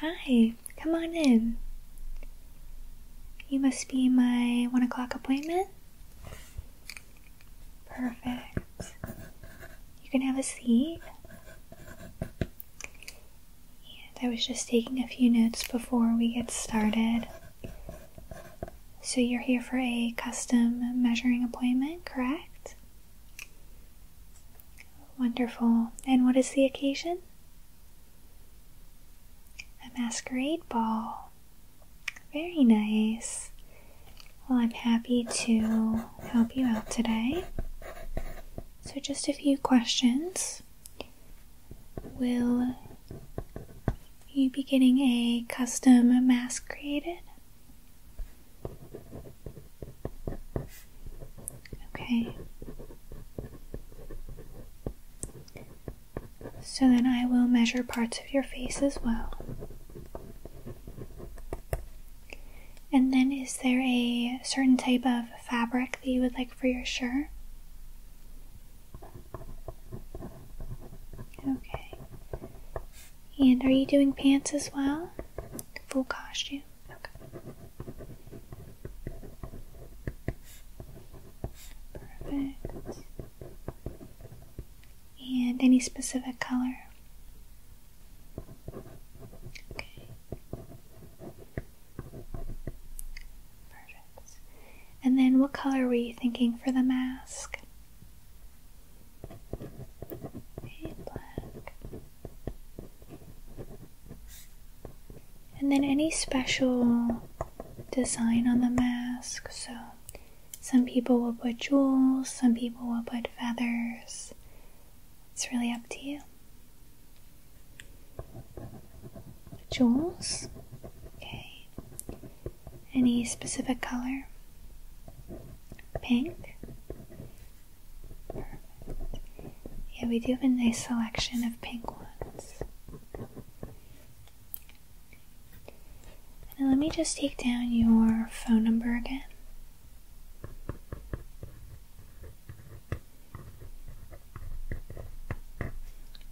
Hi, come on in. You must be my one o'clock appointment. Perfect. You can have a seat. I was just taking a few notes before we get started. So you're here for a custom measuring appointment, correct? Wonderful. And what is the occasion? A masquerade ball. Very nice. Well, I'm happy to help you out today. So, just a few questions. Will you be getting a custom mask created? Okay. So then I will measure parts of your face as well. And then is there a certain type of fabric that you would like for your shirt? Okay. And are you doing pants as well? Full costume. Okay. Perfect. And any specific color? Okay. Perfect. And then what color were you thinking for the mask? Hey, black. And then any special design on the mask. So some people will put jewels, some people will put feathers. It's really up to you. Jewels. Okay. Any specific color? Pink? Perfect. Yeah, we do have a nice selection of pink ones. let me just take down your phone number again.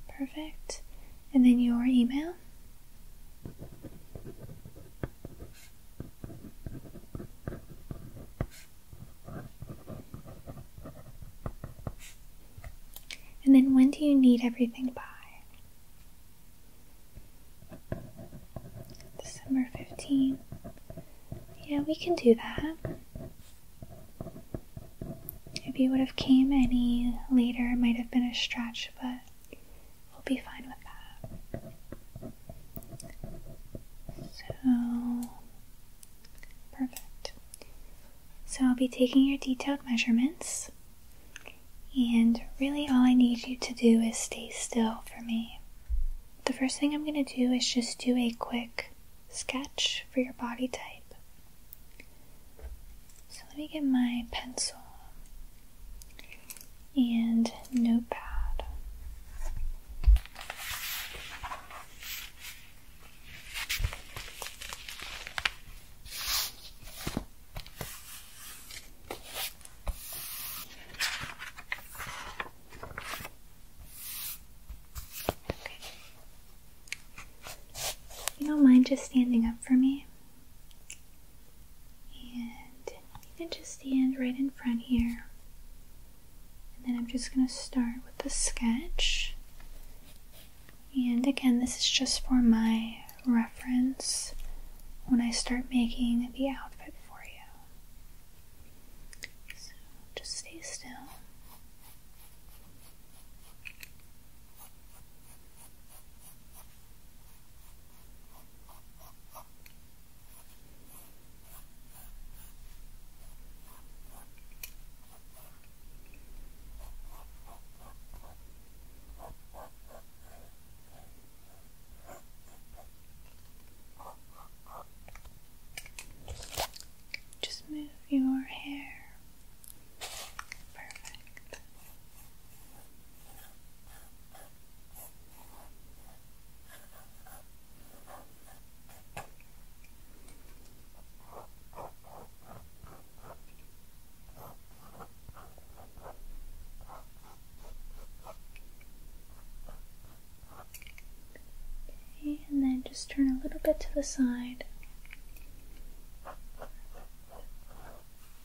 Perfect and then your email. And then when do you need everything by? December 15th. Yeah, we can do that. If you would have came any later, it might have been a stretch, but we'll be fine with that. So, perfect. So, I'll be taking your detailed measurements, and really all I need you to do is stay still for me. The first thing I'm going to do is just do a quick sketch for your body type. So let me get my pencil and notepad. You don't mind just standing up for me? And you can just stand right in front here. And then I'm just going to start with the sketch. And again, this is just for my reference when I start making the outfit for you. So just stay still. Just move your hair Perfect. and then just turn a little bit to the side.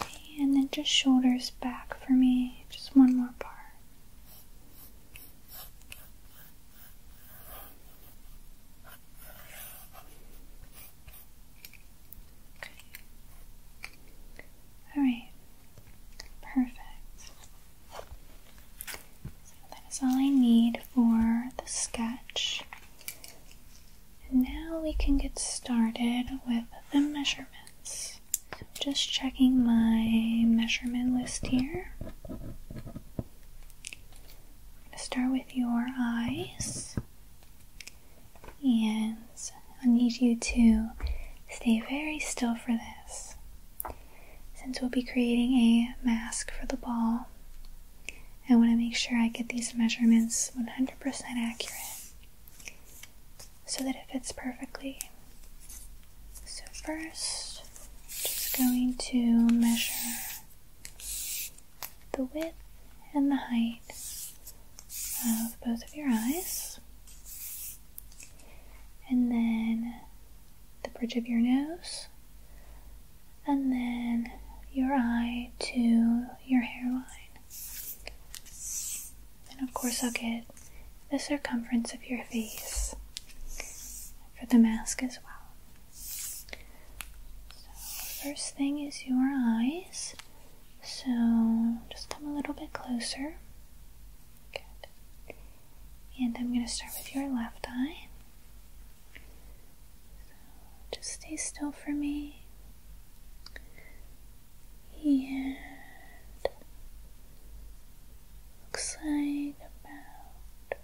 Okay, and then just shoulders back for me. Just one more part. All right. Perfect. So that is all I need for the sketch. And now we can get started with the measurements. So just checking my measurement list here. start with your eyes. And I need you to stay very still for this. Since we'll be creating a mask for the ball, I want to make sure I get these measurements 100% accurate so that it fits perfectly. So first, I'm just going to measure the width and the height of both of your eyes. And then the bridge of your nose and then your eye to your hairline. And of course, I'll get the circumference of your face for the mask as well. So, first thing is your eyes. So, just come a little bit closer. And I'm going to start with your left eye just stay still for me. And looks like about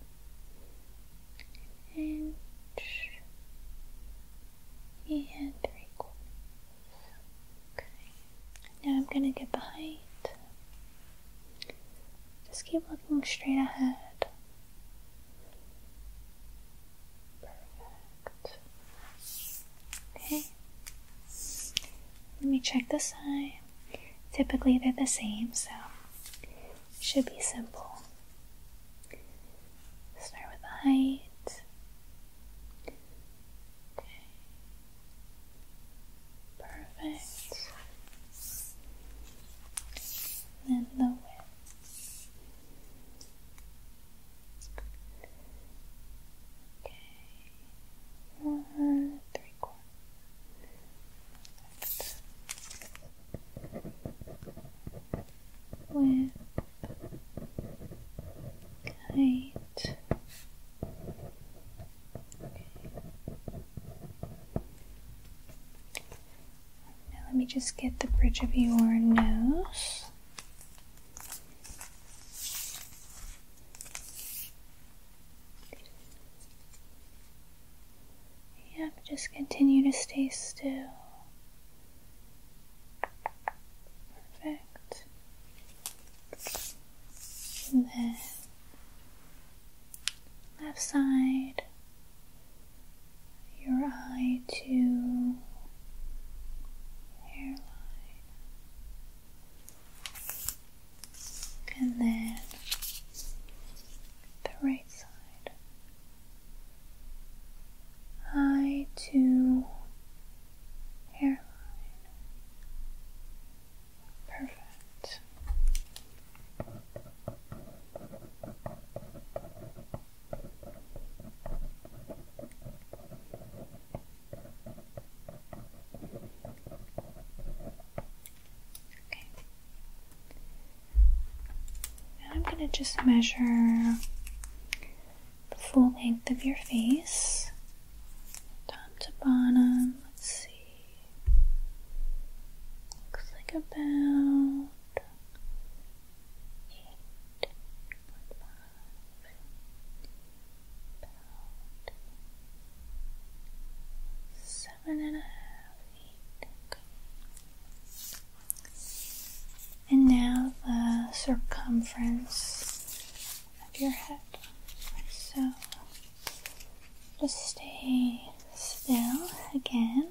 an inch and three quarters. Okay. Now I'm gonna get the height. Just keep looking straight ahead. Perfect. Okay. Let me check the side. Typically they're the same, so should be simple. Start with the height. Okay. Perfect. then the width. Okay, one, three quarters. Now let me just get the bridge of your nose. Yep, just continue to stay still. Perfect. then left side your eye to hairline. And then the right side. Eye to hairline. Perfect. Okay. Now I'm going to just measure the full length of your face, top to bottom. Let's see. Looks like about seven and a half, eight. And now the circumference of your head. So just stay still again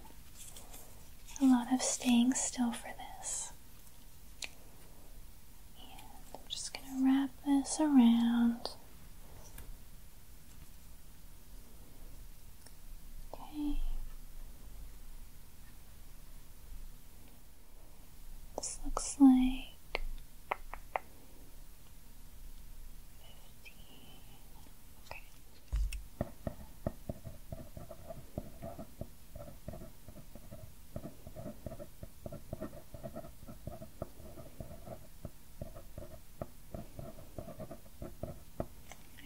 a lot of staying still for this. I'm just going to wrap this around. Okay. This looks like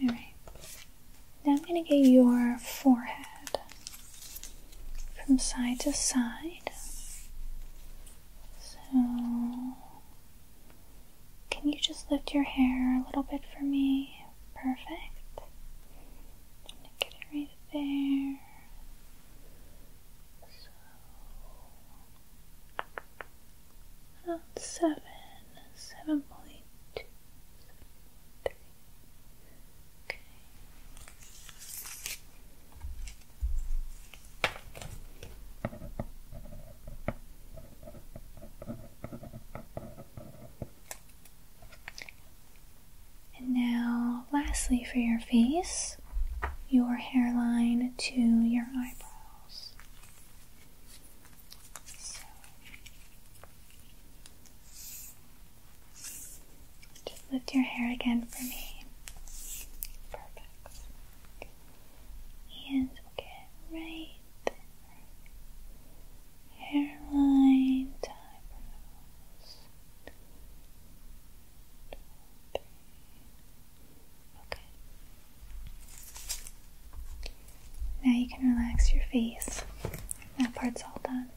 all right. Now I'm going to get your forehead from side to side. So can you just lift your hair a little bit for me? Perfect. get it right there. So oh, seven, seven point two, seven, three. Okay. And now, lastly, for your face, your hairline to your eyebrows. Just lift your hair again for me. Perfect. And okay, right hairline, eyebrows. Okay. Now you can relax your face. That part's all done.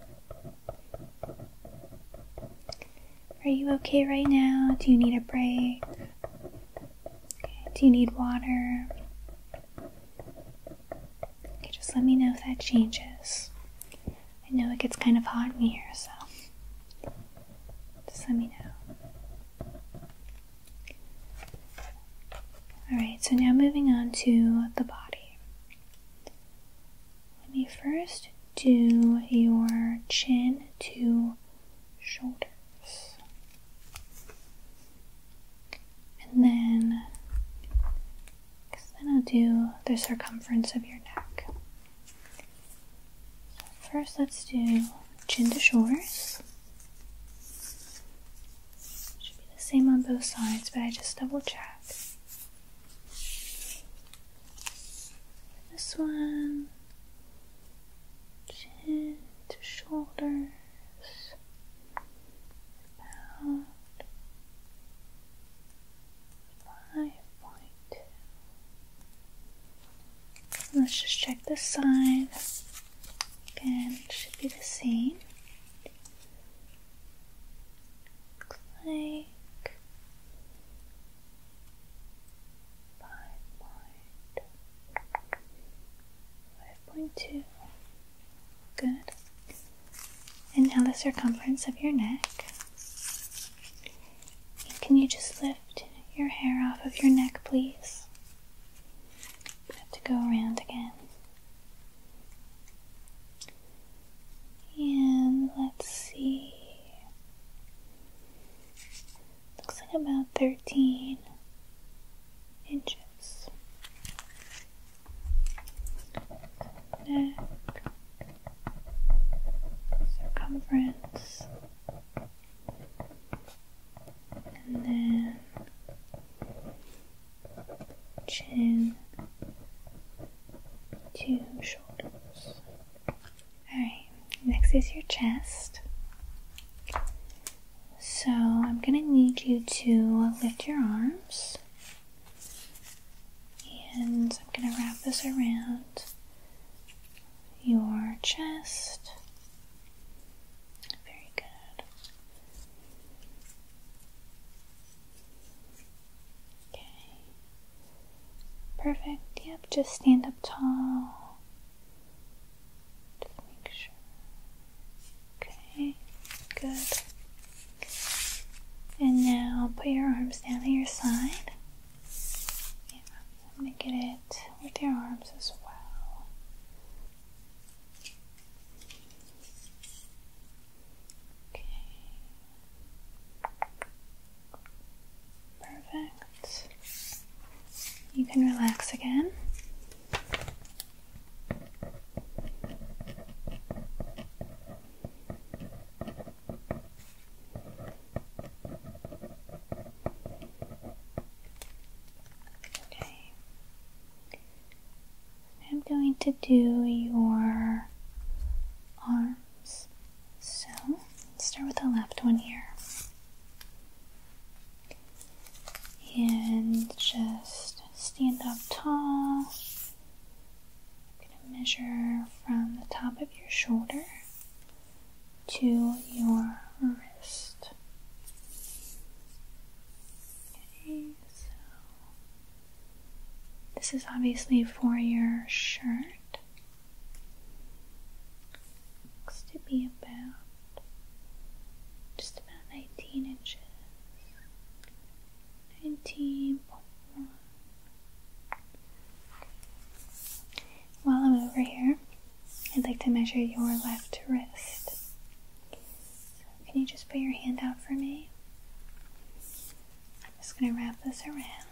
Are you okay right now? Do you need a break? do you need water? just let me know if that changes. I know it gets kind of hot in here, so just let me know. Alright, so now moving on to the body. Let me first do your chin to shoulders. And then, then I'll do the circumference of your neck. first, let's do chin to shoulders. Should be the same on both sides, but I just double check. This one, chin to shoulders, about five point two. Let's just check the side. Again, should be the same. Looks like. 5.2. Good. And now the circumference of your neck. can you just lift your hair off of your neck, please? have to go around again. And let's see looks like about 13 inches. Neck, circumference, and then chin to shoulders. Alright, next is your chest. So I'm going to need you to lift your arms. And I'm going to wrap this around your chest. Very good. Okay. Perfect. Yep, just stand up tall. Just make sure. Okay, good. And now put your arms down to your side. Yeah, I'm get it with your arms as well. Okay. Perfect you can relax again. Okay. I'm going to do your arms. So, start with the left one here. And just stand up tall. I'm going to measure from the top of your shoulder to your wrist. Okay, so this is obviously for your shirt. Looks to be about just about 19 inches, 19.1. While I'm over here, I'd like to measure your left wrist. can you just put your hand out for me? I'm just going to wrap this around.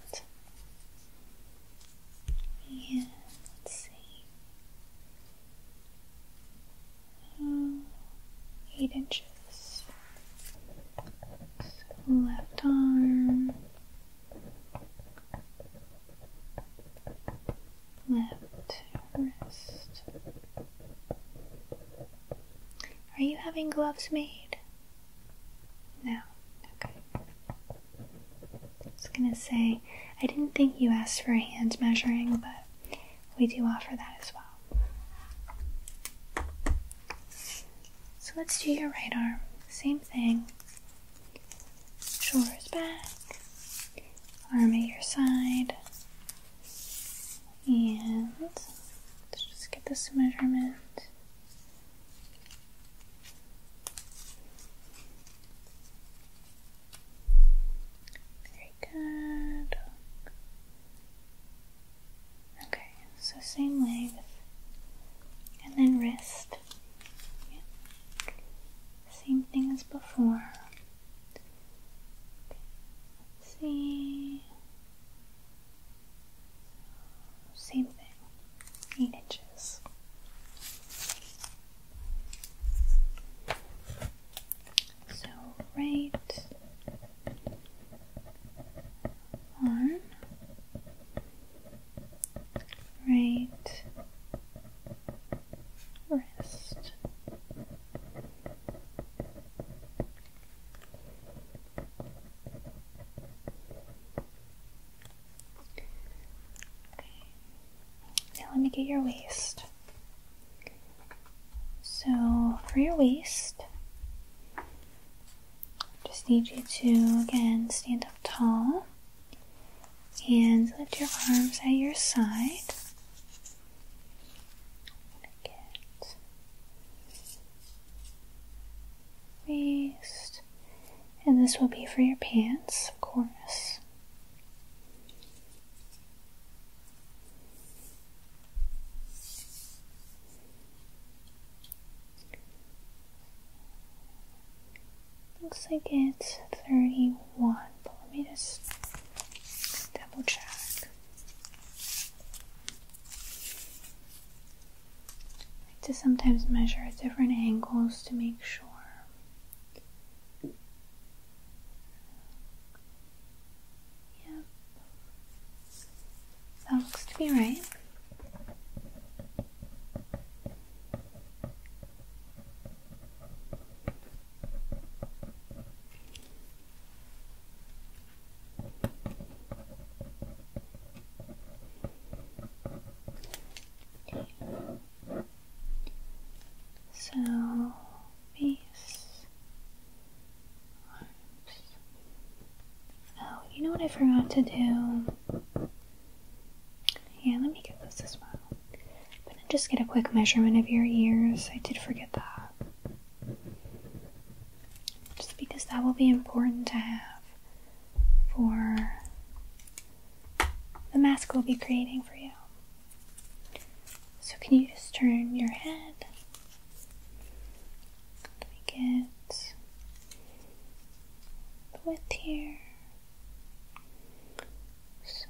Yeah, let's see. Oh, eight inches. left arm, left wrist. Are you having gloves made? No. Okay. I was gonna say, I didn't think you asked for a hand measuring, but we do offer that as well. So let's do your right arm. Same thing. Shoulders back, arm at your side, and let's just get this measurement. Very good. Okay, so same way with, and then wrist. Same thing as before. see. Same thing. 8 inches. So, right on, right wrist. Now let me get your waist. So for your waist, just need you to again stand up tall and lift your arms at your side. waist. And this will be for your pants, of course. Looks like it's 31, but let me just double check. I like to sometimes measure at different angles to make sure. Yep. That looks to be right. So base arms. Oh, you know what I forgot to do? Yeah, let me get this as well. But then just get a quick measurement of your ears. I did forget that. Just because that will be important to have for the mask we will be creating for you. So, can you just turn your head? Let get the width here. So,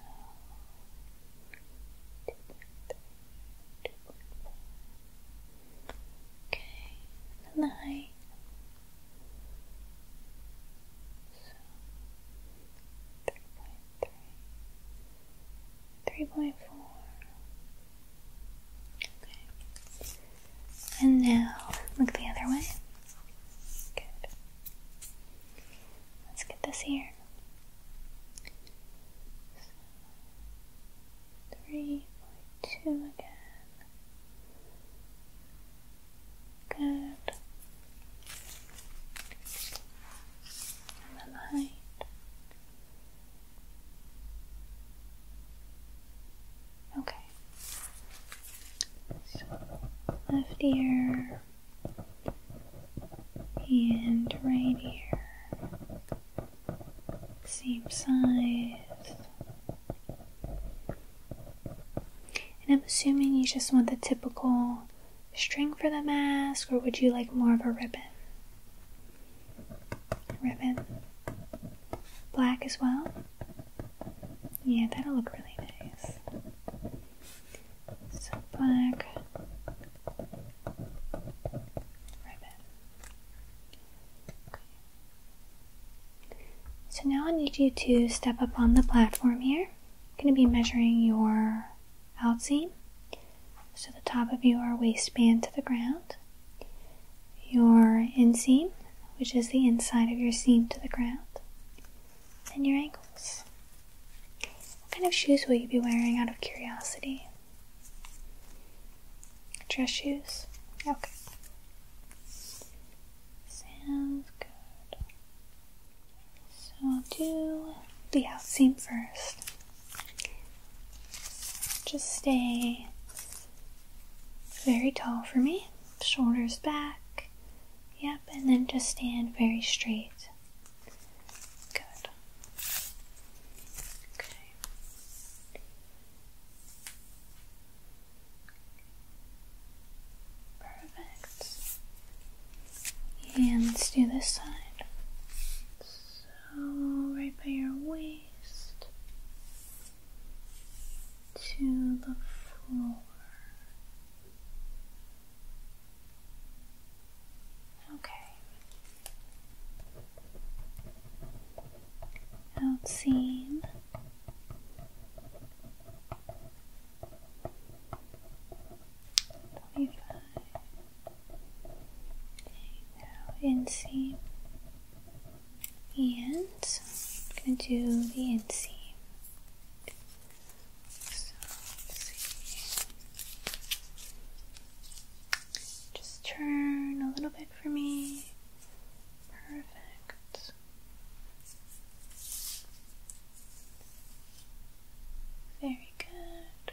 Okay, and so, 3.3, 3.4. Okay. And now, look the other way. Good. Let's get this here. So, 3.2 again. Good. And the height. Okay. left ear and right ear. Same size. And I'm assuming you just want the typical string for the mask, or would you like more of a ribbon? Ribbon. Black as well? Yeah, that'll look really nice. So, black. Ribbon. So now I need you to step up on the platform here. I'm going to be measuring your out So the top of your waistband to the ground, your inseam, which is the inside of your seam to the ground, and your ankles. What kind of shoes will you be wearing out of curiosity? Dress shoes? Okay. Sounds good. So I'll do the out seam first. Just stay very tall for me, shoulders back. Yep, and then just stand very straight. Good. Okay. Perfect. And let's do this side. So, right by your waist to the floor. Okay. Out seam Twenty-five. Now inseam and I'm gonna do the inseam. So Just turn a little bit for me. Perfect. Very good.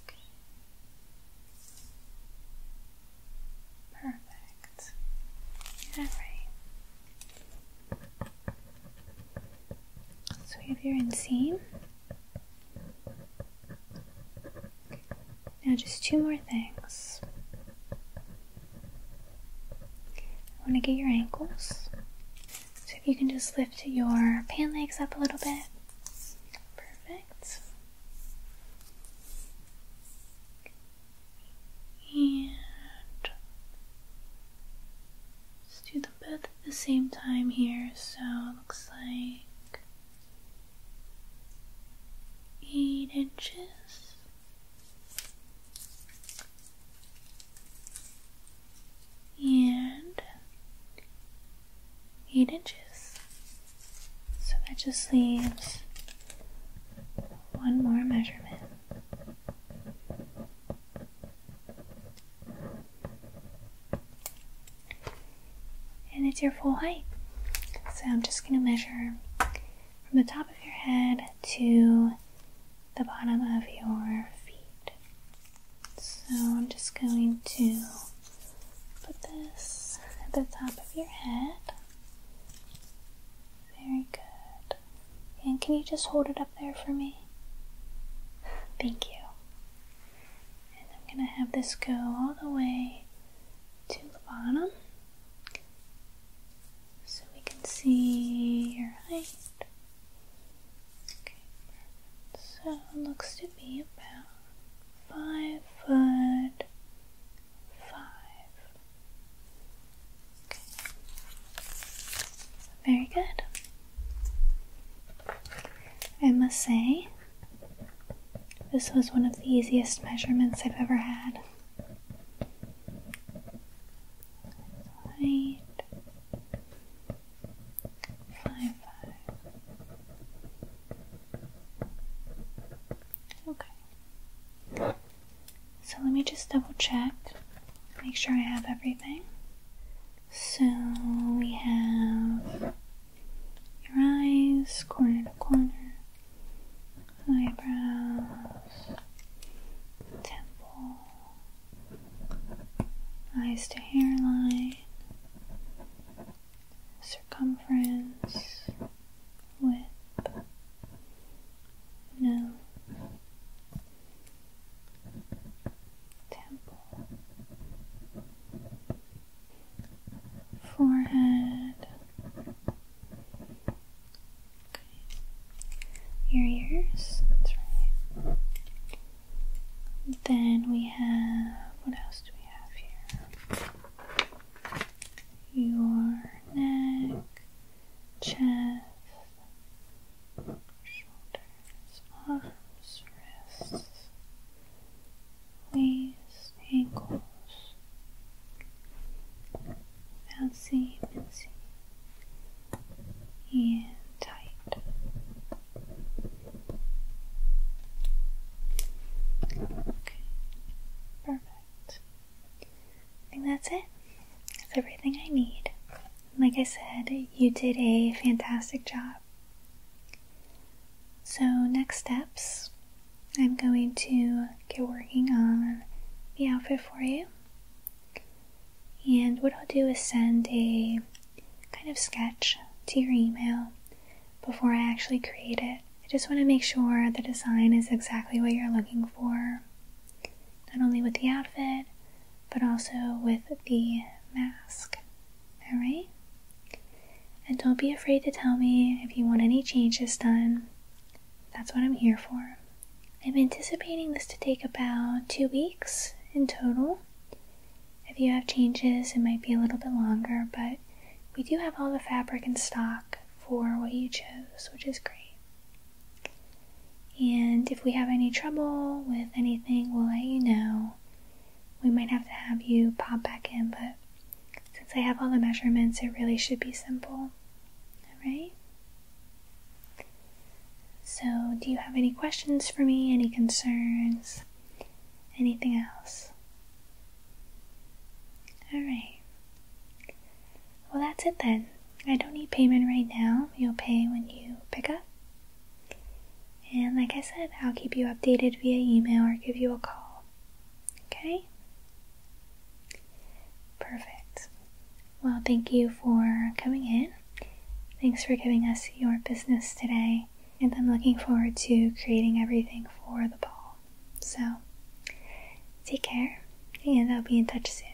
Okay. Perfect. All right. So we have your inseam. Now, just two more things. I want to get your ankles. So, if you can just lift your pant legs up a little bit. Perfect. And let's do them both at the same time here. So, it looks like eight inches. And eight inches. So that just leaves one more measurement and it's your full height. So I'm just going to measure from the top of your head to the bottom of your feet. So I'm just going to put this at the top of your head. Very good. And can you just hold it up there for me? Thank you. And I'm going to have this go all the way to the bottom so we can see your height. Okay, So looks to be about five foot five. Okay. Very good. I must say this was one of the easiest measurements I've ever had. Height Okay. So let me just double check. Make sure I have everything. So we have your eyes, corner to corner, eyebrows, temple, eyes to hairline, circumference, width, nose. Temple, forehead, your ears, Then we have, what else do we have here? Your neck, chest, shoulders, arms, wrists, these ankles, fancy, even seeing tight. Okay, perfect. I think that's it. That's everything I need. Like I said, you did a fantastic job. So, next steps I'm going to get working on the outfit for you. And what I'll do is send a kind of sketch to your email before I actually create it. I just want to make sure the design is exactly what you're looking for, not only with the outfit, but also with the mask. Alright? And don't be afraid to tell me if you want any changes done. That's what I'm here for. I'm anticipating this to take about two weeks in total. If you have changes, it might be a little bit longer, but we do have all the fabric in stock for what you chose, which is great. And if we have any trouble with anything, we'll let you know we might have to have you pop back in, but since I have all the measurements, it really should be simple. Alright? So, do you have any questions for me? Any concerns? Anything else? Alright. Well, that's it then. I don't need payment right now. You'll pay when you pick up. And like I said, I'll keep you updated via email or give you a call. Okay? Perfect. Well, thank you for coming in. Thanks for giving us your business today. And I'm looking forward to creating everything for the ball. So, take care, and I'll be in touch soon.